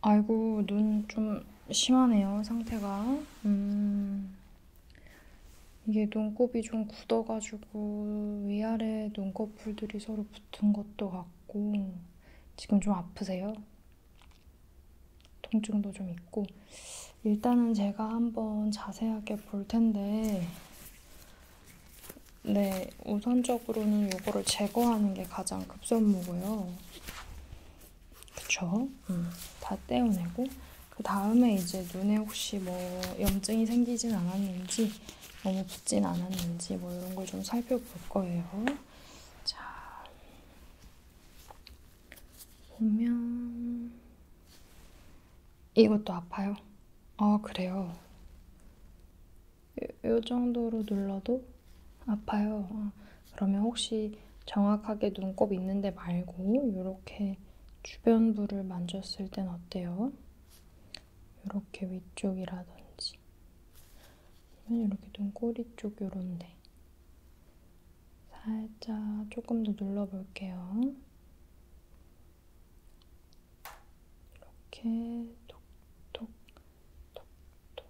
아이고, 눈 좀 심하네요, 상태가. 음. 이게 눈곱이 좀 굳어가지고 위아래 눈꺼풀들이 서로 붙은 것도 같고 지금 좀 아프세요? 통증도 좀 있고 일단은 제가 한번 자세하게 볼 텐데 네 우선적으로는 이거를 제거하는 게 가장 급선무고요 그쵸? 음, 다 떼어내고 그 다음에 이제 눈에 혹시 뭐 염증이 생기진 않았는지 너무 붓진 않았는지 뭐 이런 걸 좀 살펴볼 거예요. 자 보면 이것도 아파요. 아 그래요. 이, 이 정도로 눌러도 아파요. 아, 그러면 혹시 정확하게 눈곱 있는데 말고 이렇게 주변부를 만졌을 땐 어때요? 이렇게 위쪽이라든지 아니면 이렇게 눈꼬리 쪽 요런데 살짝 조금 더 눌러볼게요. 이렇게 톡톡 톡톡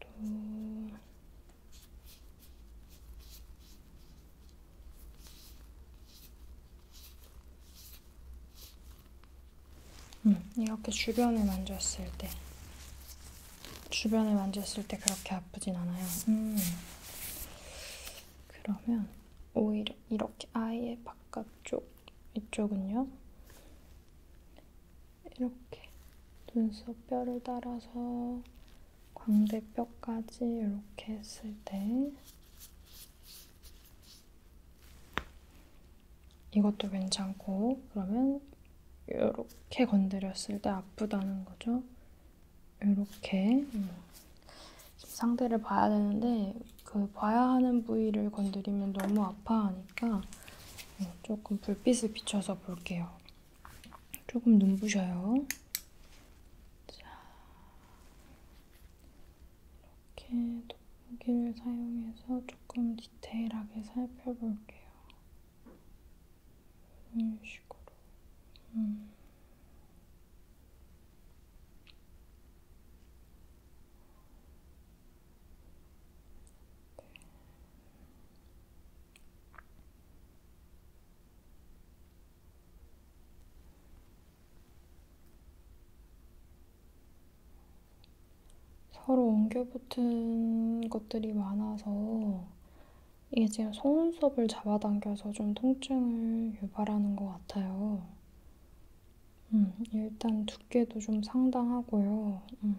또 음, 이렇게 주변을 만졌을 때 주변을 만졌을 때 그렇게 아프진 않아요. 음. 그러면 오히려 이렇게 아예 바깥쪽 이쪽은요. 이렇게 눈썹 뼈를 따라서 광대뼈까지 이렇게 했을 때 이것도 괜찮고 그러면 이렇게 건드렸을 때 아프다는 거죠. 이렇게 음. 상태를 봐야 되는데 그 봐야 하는 부위를 건드리면 너무 아파하니까 어, 조금 불빛을 비춰서 볼게요. 조금 눈부셔요. 자, 이렇게 도포기를 사용해서 조금 디테일하게 살펴볼게요. 이런 식으로. 음. 서로 엉겨 붙은 것들이 많아서 이게 지금 속눈썹을 잡아당겨서 좀 통증을 유발하는 것 같아요. 음, 일단 두께도 좀 상당하고요. 음.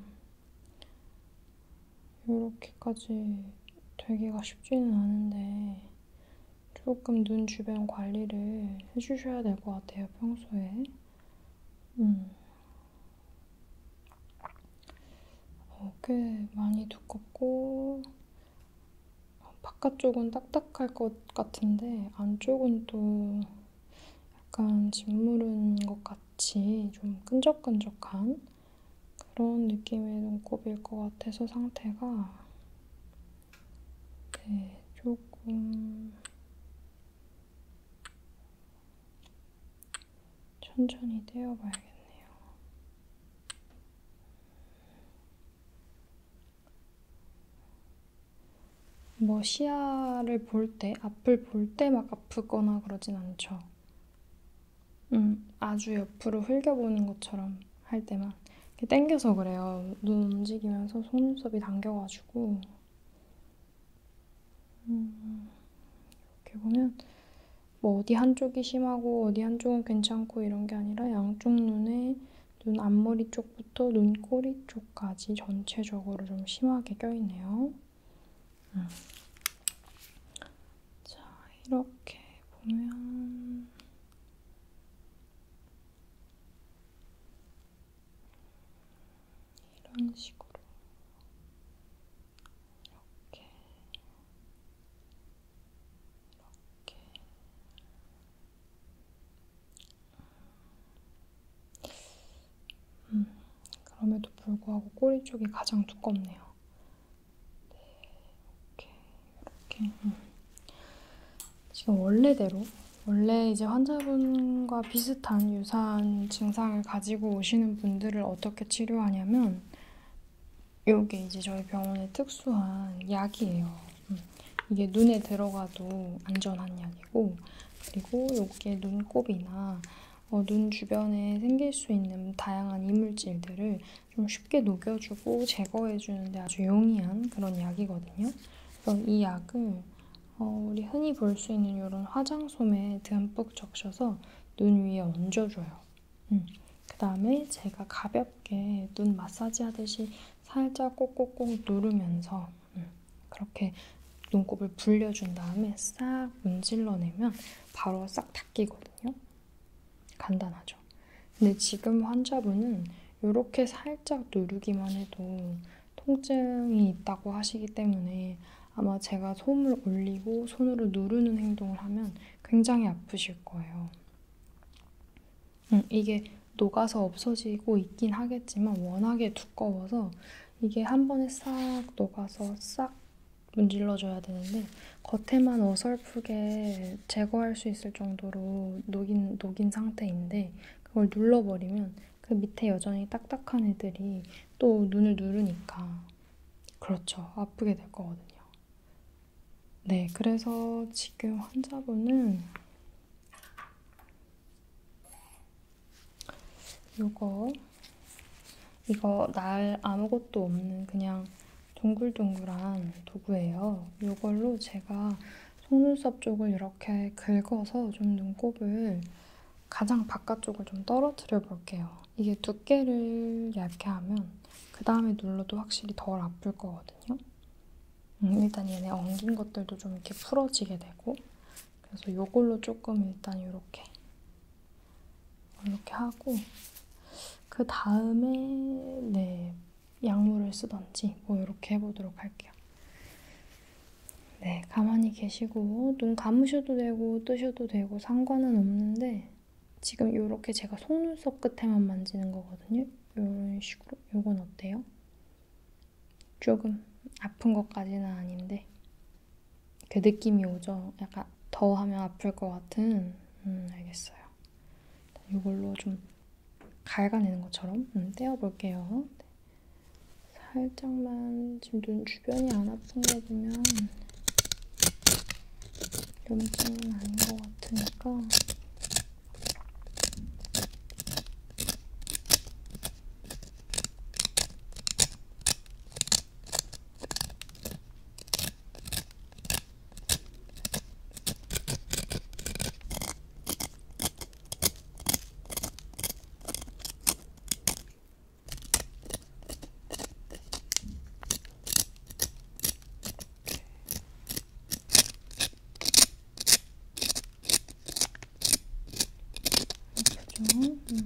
이렇게까지 되기가 쉽지는 않은데 조금 눈 주변 관리를 해주셔야 될 것 같아요, 평소에. 음. 어, 꽤 많이 두껍고 바깥쪽은 딱딱할 것 같은데 안쪽은 또 약간 짓무른 것 같아요. 같이 좀 끈적끈적한 그런 느낌의 눈곱일 것 같아서 상태가 네, 조금 천천히 떼어봐야겠네요. 뭐 시야를 볼 때, 앞을 볼때막 아프거나 그러진 않죠. 음, 아주 옆으로 흘겨보는 것처럼 할 때만 이렇게 당겨서 그래요. 눈 움직이면서 속눈썹이 당겨가지고 음, 이렇게 보면 뭐 어디 한쪽이 심하고 어디 한쪽은 괜찮고 이런 게 아니라 양쪽 눈에 눈 앞머리 쪽부터 눈꼬리 쪽까지 전체적으로 좀 심하게 껴있네요. 음. 자, 이렇게 보면 이런 식으로 이렇게 이렇게 음. 음, 그럼에도 불구하고 꼬리 쪽이 가장 두껍네요. 네, 이렇게, 이렇게. 음. 지금 원래대로, 원래 이제 환자분과 비슷한 유사한 증상을 가지고 오시는 분들을 어떻게 치료하냐면, 요게 이제 저희 병원의 특수한 약이에요. 음. 이게 눈에 들어가도 안전한 약이고, 그리고 요게 눈곱이나 어, 눈 주변에 생길 수 있는 다양한 이물질들을 좀 쉽게 녹여주고 제거해주는데 아주 용이한 그런 약이거든요. 그래서 이 약을 어, 우리 흔히 볼 수 있는 이런 화장솜에 듬뿍 적셔서 눈 위에 얹어줘요. 음. 그 다음에 제가 가볍게 눈 마사지 하듯이 살짝 꼭꼭꼭 누르면서 음. 그렇게 눈곱을 불려준 다음에 싹 문질러내면 바로 싹 닦이거든요. 간단하죠. 근데 지금 환자분은 이렇게 살짝 누르기만 해도 통증이 있다고 하시기 때문에 아마 제가 솜을 올리고 손으로 누르는 행동을 하면 굉장히 아프실 거예요. 음, 이게 녹아서 없어지고 있긴 하겠지만 워낙에 두꺼워서 이게 한 번에 싹 녹아서 싹 문질러줘야 되는데 겉에만 어설프게 제거할 수 있을 정도로 녹인, 녹인 상태인데 그걸 눌러버리면 그 밑에 여전히 딱딱한 애들이 또 눈을 누르니까 그렇죠. 아프게 될 거거든요. 네, 그래서 지금 환자분은 요거 이거 날 아무것도 없는 그냥 동글동글한 도구예요. 요걸로 제가 속눈썹 쪽을 이렇게 긁어서 좀 눈곱을 가장 바깥쪽을 좀 떨어뜨려 볼게요. 이게 두께를 얇게 하면 그 다음에 눌러도 확실히 덜 아플 거거든요. 음, 일단 얘네 엉긴 것들도 좀 이렇게 풀어지게 되고 그래서 요걸로 조금 일단 이렇게 이렇게 하고 그 다음에 네 약물을 쓰던지 뭐 이렇게 해보도록 할게요. 네 가만히 계시고 눈 감으셔도 되고 뜨셔도 되고 상관은 없는데 지금 이렇게 제가 속눈썹 끝에만 만지는 거거든요. 이런 식으로 이건 어때요? 조금 아픈 것까지는 아닌데 그 느낌이 오죠. 약간 더 하면 아플 것 같은. 음, 알겠어요. 이걸로 좀 갈가내는 것처럼 음, 떼어볼게요. 살짝만 지금 눈 주변이 안 아픈 거 보면 염증은 아닌 것 같으니까 좀 음.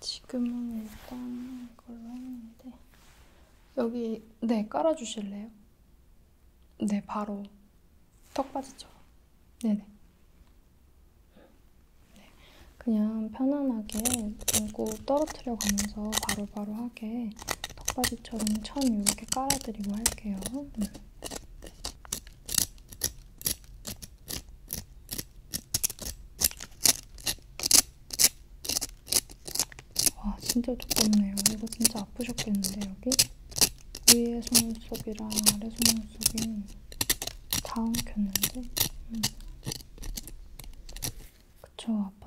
지금은 일단 이걸로 했는데 여기 네 깔아주실래요? 네 바로 턱받이처럼 네네 네, 그냥 편안하게 눈곱 떨어뜨려 가면서 바로바로 하게 턱받이 빗소리처럼 천 이렇게 깔아드리고 할게요. 음. 와 진짜 두껍네요. 이거 진짜 아프셨겠는데 여기? 위에 속눈썹이랑 아래 속눈썹이 다 엉켰는데? 음. 그쵸,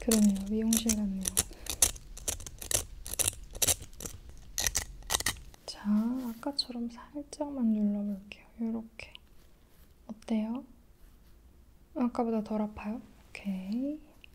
그러네요. 미용실 같네요. 자, 아까처럼 살짝만 눌러볼게요. 이렇게. 어때요? 아까보다 덜 아파요? 오케이.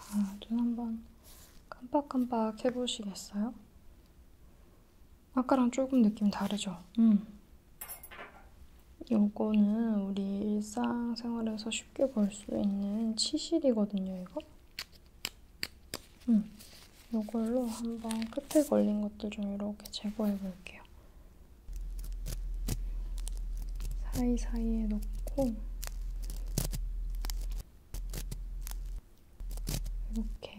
자, 눈 한번 깜빡깜빡 해보시겠어요? 아까랑 조금 느낌 다르죠? 음. 요거는 우리 일상생활에서 쉽게 볼 수 있는 치실이거든요, 이거. 음, 요걸로 한번 끝에 걸린 것도 좀 이렇게 제거해 볼게요. 사이사이에 넣고 이렇게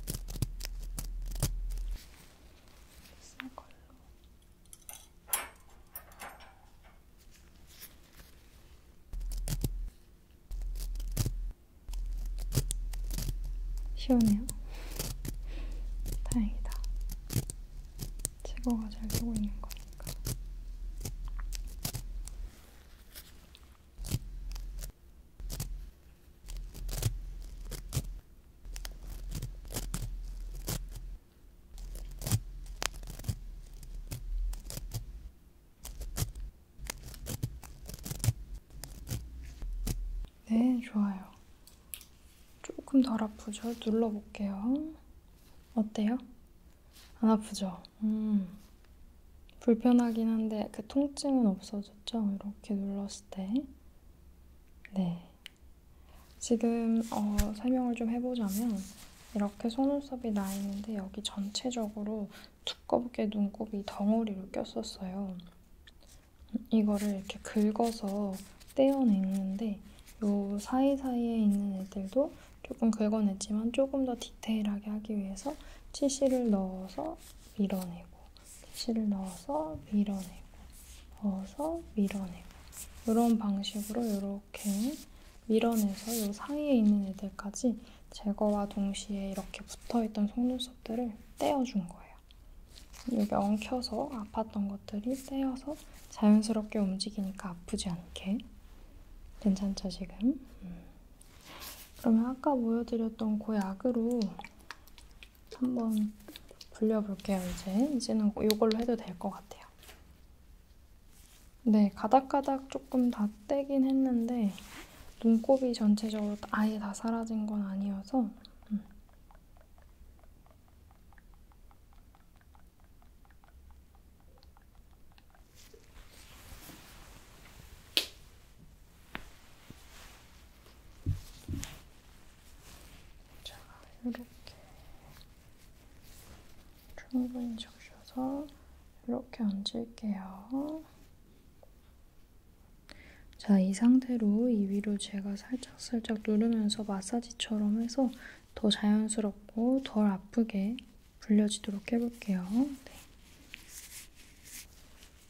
새 걸로. 시원해요? 다행이다. 제거가 잘 되고 있는 거니까. 네, 좋아요. 조금 덜 아프죠? 눌러볼게요. 어때요? 안 아프죠? 음. 불편하긴 한데 그 통증은 없어져. 설정 이렇게 눌렀을 때, 네. 지금 어, 설명을 좀 해보자면, 이렇게 속눈썹이 나 있는데 여기 전체적으로 두껍게 눈곱이 덩어리로 꼈었어요. 이거를 이렇게 긁어서 떼어냈는데, 요 사이사이에 있는 애들도 조금 긁어냈지만 조금 더 디테일하게 하기 위해서 치실을 넣어서 밀어내고 글씨를 넣어서 밀어내고 넣어서 밀어내고 이런 방식으로 이렇게 밀어내서 이 사이에 있는 애들까지 제거와 동시에 이렇게 붙어있던 속눈썹들을 떼어준 거예요. 여기 엉켜서 아팠던 것들이 떼어서 자연스럽게 움직이니까 아프지 않게 괜찮죠 지금? 음. 그러면 아까 보여드렸던 그 약으로 한번 불려볼게요. 이제 이제는 이걸로 해도 될 것 같아요. 네, 가닥가닥 조금 다 떼긴 했는데 눈곱이 전체적으로 아예 다 사라진 건 아니어서 음. 자, 이렇게 충분히 적셔서 이렇게 얹을게요. 자, 이 상태로 이 위로 제가 살짝살짝 누르면서 마사지처럼 해서 더 자연스럽고 덜 아프게 불려지도록 해볼게요. 네.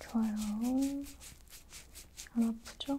좋아요. 안 아프죠?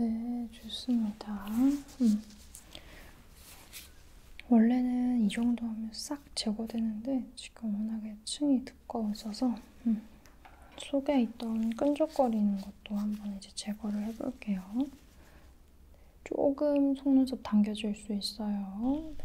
네, 좋습니다. 음. 원래는 이 정도 하면 싹 제거되는데 지금 워낙에 층이 두꺼워져서 음. 속에 있던 끈적거리는 것도 한번 이제 제거를 해볼게요. 조금 속눈썹 당겨줄 수 있어요. 네.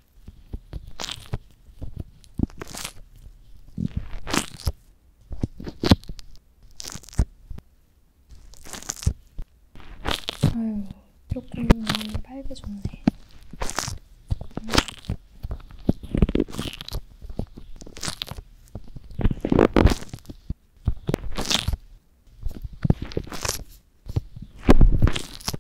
아유, 조금 빨개졌네.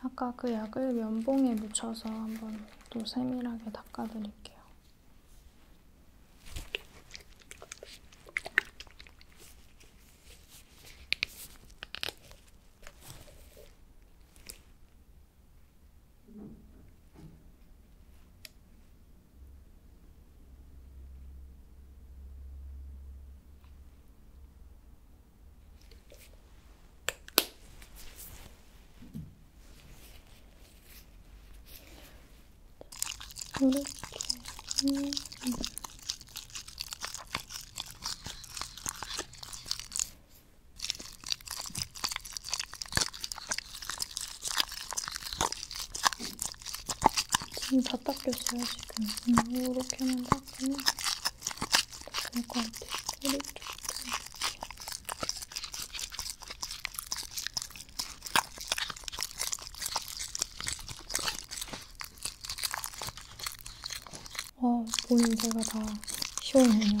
아까 그 약을 면봉에 묻혀서 한번 또 세밀하게 닦아드릴게요. 이렇게 음. 지금 다 닦였어요, 지금. 음, 이렇게만 닦으면 될것 같아요. 꼬리 쪽. 어, 오늘 제가 다 시원해요.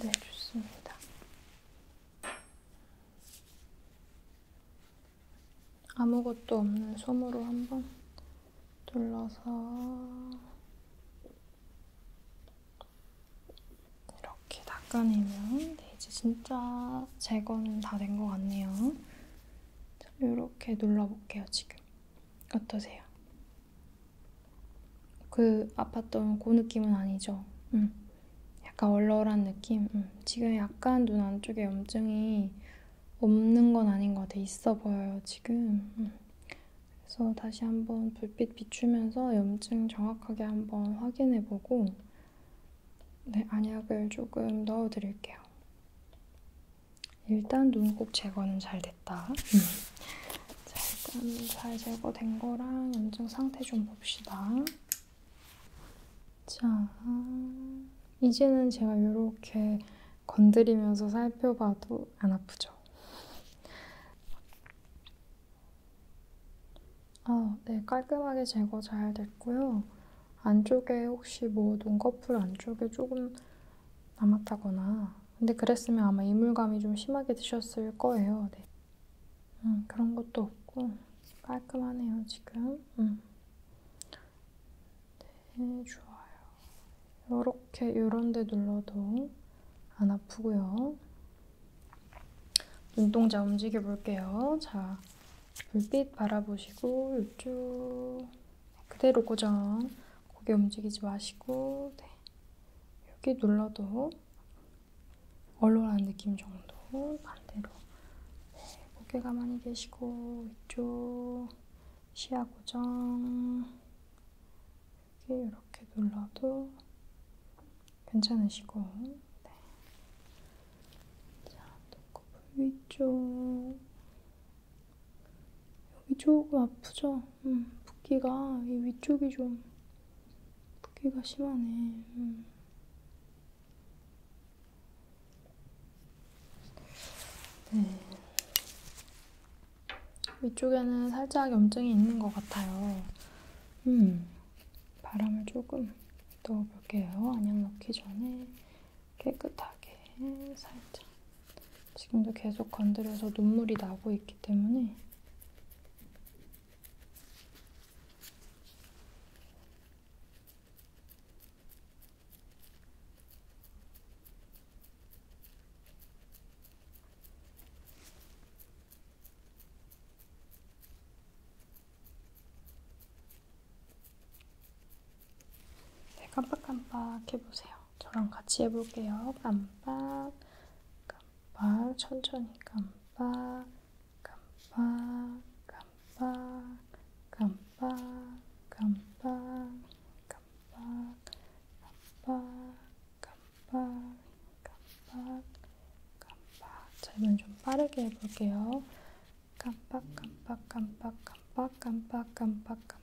네, 좋습니다. 아무것도 없는 솜으로 한번 둘러서 이렇게 닦아내면 네, 이제 진짜 제거는 다 된 것 같네요. 이렇게 눌러볼게요, 지금. 어떠세요? 그 아팠던 그 느낌은 아니죠. 음. 약간 얼얼한 느낌? 음. 지금 약간 눈 안쪽에 염증이 없는 건 아닌 것 같아. 있어 보여요, 지금. 음. 그래서 다시 한번 불빛 비추면서 염증 정확하게 한번 확인해 보고 네, 안약을 조금 넣어 드릴게요. 일단 눈곱 제거는 잘 됐다. 자, 일단 잘 제거된 거랑 염증 상태 좀 봅시다. 자, 이제는 제가 이렇게 건드리면서 살펴봐도 안 아프죠? 아, 네, 깔끔하게 제거 잘 됐고요. 안쪽에 혹시 뭐 눈꺼풀 안쪽에 조금 남았다거나 근데 그랬으면 아마 이물감이 좀 심하게 드셨을 거예요. 네. 음, 그런 것도 없고 깔끔하네요 지금. 음. 네, 좋아요. 이렇게 요런데 눌러도 안 아프고요. 눈동자 움직여 볼게요. 자, 불빛 바라보시고 이쪽. 그대로 고정. 고개 움직이지 마시고, 네. 여기 눌러도 얼얼한 느낌 정도 반대로 네, 고개 가만히 계시고 이쪽 시야 고정 여기 이렇게 눌러도 괜찮으시고 네. 자, 눈꺼풀 위쪽 여기 조금 아프죠? 음, 붓기가 이 위쪽이 좀 붓기가 심하네. 음. 네. 위쪽에는 살짝 염증이 있는 것 같아요. 음, 바람을 조금 넣어볼게요. 안약 넣기 전에 깨끗하게 살짝. 지금도 계속 건드려서 눈물이 나고 있기 때문에 네, 깜빡깜빡 해보세요. 저랑 같이 해볼게요. 깜빡, 깜빡, 천천히 깜빡, 깜빡, 깜빡, 깜빡, 깜빡, 깜빡, 깜빡, 깜빡, 깜빡, 깜빡. 자, 이번엔 좀 빠르게 해볼게요. 깜빡, 깜빡, 깜빡, 깜빡, 깜빡, 깜빡, 깜빡.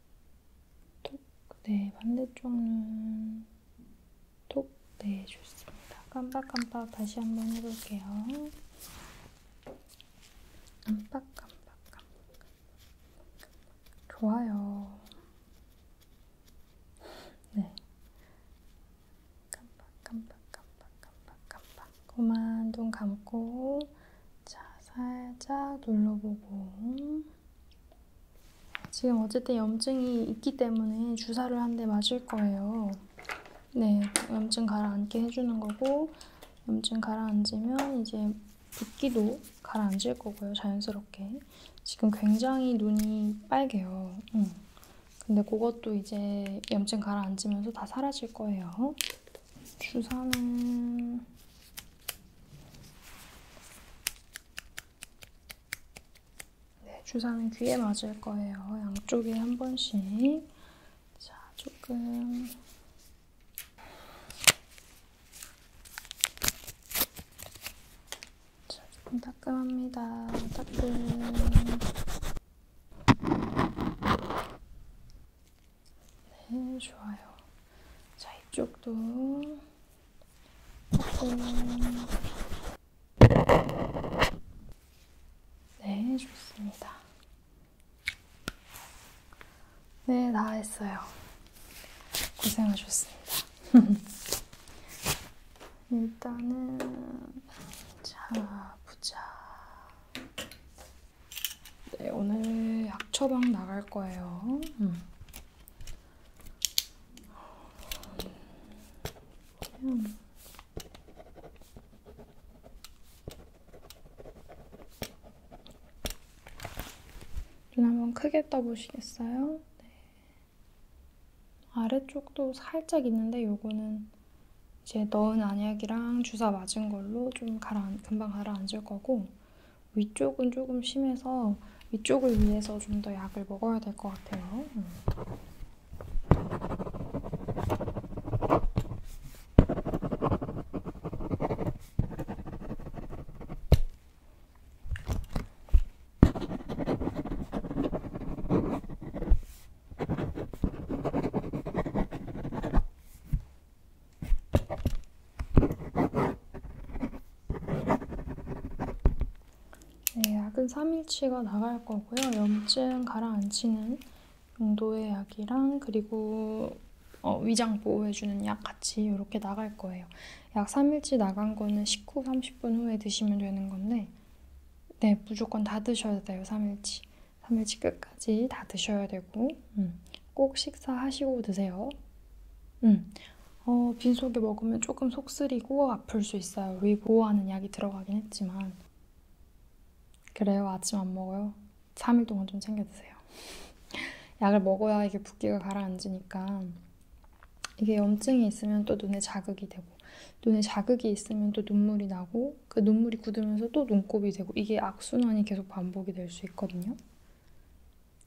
톡, 네, 반대쪽 눈, 톡, 네, 좋습니다. 깜빡깜빡 다시 한번 해볼게요. 깜빡깜빡, 깜빡. 좋아요. 네. 깜빡깜빡, 깜빡깜빡, 깜빡. 그만 눈 감고. 자, 살짝 눌러보고 지금 어쨌든 염증이 있기 때문에 주사를 한 대 맞을 거예요. 네, 염증 가라앉게 해주는 거고 염증 가라앉으면 이제 붓기도 가라앉을 거고요, 자연스럽게. 지금 굉장히 눈이 빨개요. 응. 근데 그것도 이제 염증 가라앉으면서 다 사라질 거예요. 주사는 네, 주사는 귀에 맞을 거예요. 양쪽에 한 번씩. 자, 조금. 자, 조금 따끔합니다. 따끔. 네, 좋아요. 자, 이쪽도 조금 네, 좋습니다. 네, 다 했어요. 고생하셨습니다. 일단은 자, 보자. 네, 오늘 약초방 나갈 거예요. 음. 음. 눈 한 번 크게 떠보시겠어요? 네. 아래쪽도 살짝 있는데 요거는 이제 넣은 안약이랑 주사 맞은 걸로 좀 가라앉, 금방 가라앉을 거고 위쪽은 조금 심해서 위쪽을 위해서 좀 더 약을 먹어야 될 것 같아요. 음. 네, 약은 3일치가 나갈 거고요. 염증 가라앉히는 용도의 약이랑 그리고 어, 위장 보호해주는 약 같이 이렇게 나갈 거예요. 약 3일치 나간 거는 식후 30분 후에 드시면 되는 건데 네, 무조건 다 드셔야 돼요. 3일치. 3일치 끝까지 다 드셔야 되고 음. 꼭 식사하시고 드세요. 음. 어, 빈속에 먹으면 조금 속 쓰리고 아플 수 있어요. 위 보호하는 약이 들어가긴 했지만. 그래요, 아침 안 먹어요? 3일 동안 좀 챙겨 드세요. 약을 먹어야 이게 붓기가 가라앉으니까. 이게 염증이 있으면 또 눈에 자극이 되고, 눈에 자극이 있으면 또 눈물이 나고, 그 눈물이 굳으면서 또 눈곱이 되고, 이게 악순환이 계속 반복이 될 수 있거든요.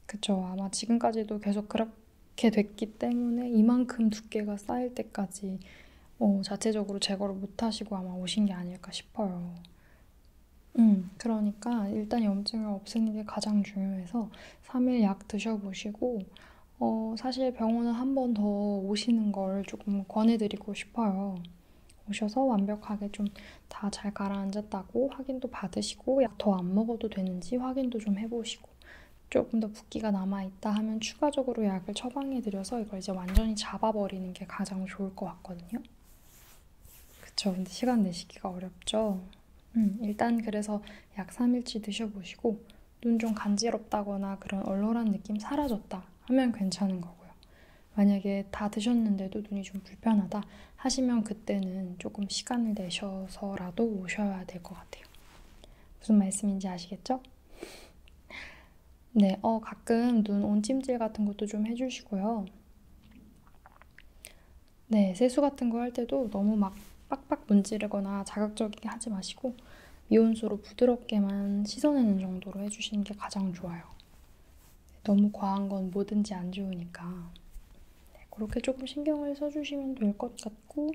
그쵸. 아마 지금까지도 계속 그렇게 됐기 때문에 이만큼 두께가 쌓일 때까지 어, 자체적으로 제거를 못하시고 아마 오신 게 아닐까 싶어요. 음, 그러니까 일단 염증을 없애는 게 가장 중요해서 3일 약 드셔보시고 어, 사실 병원은 한번 더 오시는 걸 조금 권해드리고 싶어요. 오셔서 완벽하게 좀 다잘 가라앉았다고 확인도 받으시고 약 더 안 먹어도 되는지 확인도 좀 해보시고 조금 더 붓기가 남아있다 하면 추가적으로 약을 처방해드려서 이걸 이제 완전히 잡아버리는 게 가장 좋을 것 같거든요. 그쵸. 근데 시간 내시기가 어렵죠. 음, 일단 그래서 약 3일치 드셔보시고 눈 좀 간지럽다거나 그런 얼얼한 느낌 사라졌다 하면 괜찮은 거고요. 만약에 다 드셨는데도 눈이 좀 불편하다 하시면 그때는 조금 시간을 내셔서라도 오셔야 될 것 같아요. 무슨 말씀인지 아시겠죠? 네, 어, 가끔 눈 온찜질 같은 것도 좀 해주시고요. 네, 세수 같은 거 할 때도 너무 막 빡빡 문지르거나 자극적이게 하지 마시고 미온수로 부드럽게만 씻어내는 정도로 해주시는 게 가장 좋아요. 너무 과한 건 뭐든지 안 좋으니까 네, 그렇게 조금 신경을 써주시면 될 것 같고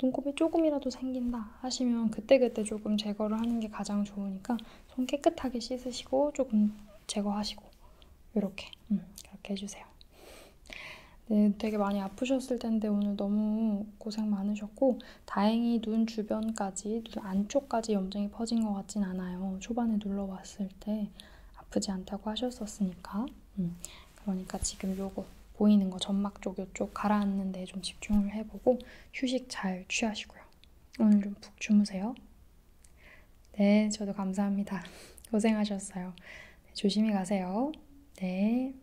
눈곱이 조금이라도 생긴다 하시면 그때그때 조금 제거를 하는 게 가장 좋으니까 손 깨끗하게 씻으시고 조금 제거하시고 이렇게 음, 그렇게 해주세요. 네, 되게 많이 아프셨을 텐데 오늘 너무 고생 많으셨고 다행히 눈 주변까지, 눈 안쪽까지 염증이 퍼진 것 같진 않아요. 초반에 눌러봤을 때 아프지 않다고 하셨었으니까. 음, 그러니까 지금 요거 보이는 거 점막 쪽 요쪽 가라앉는 데좀 집중을 해보고 휴식 잘 취하시고요. 오늘 좀 푹 주무세요. 네, 저도 감사합니다. 고생하셨어요. 네, 조심히 가세요. 네.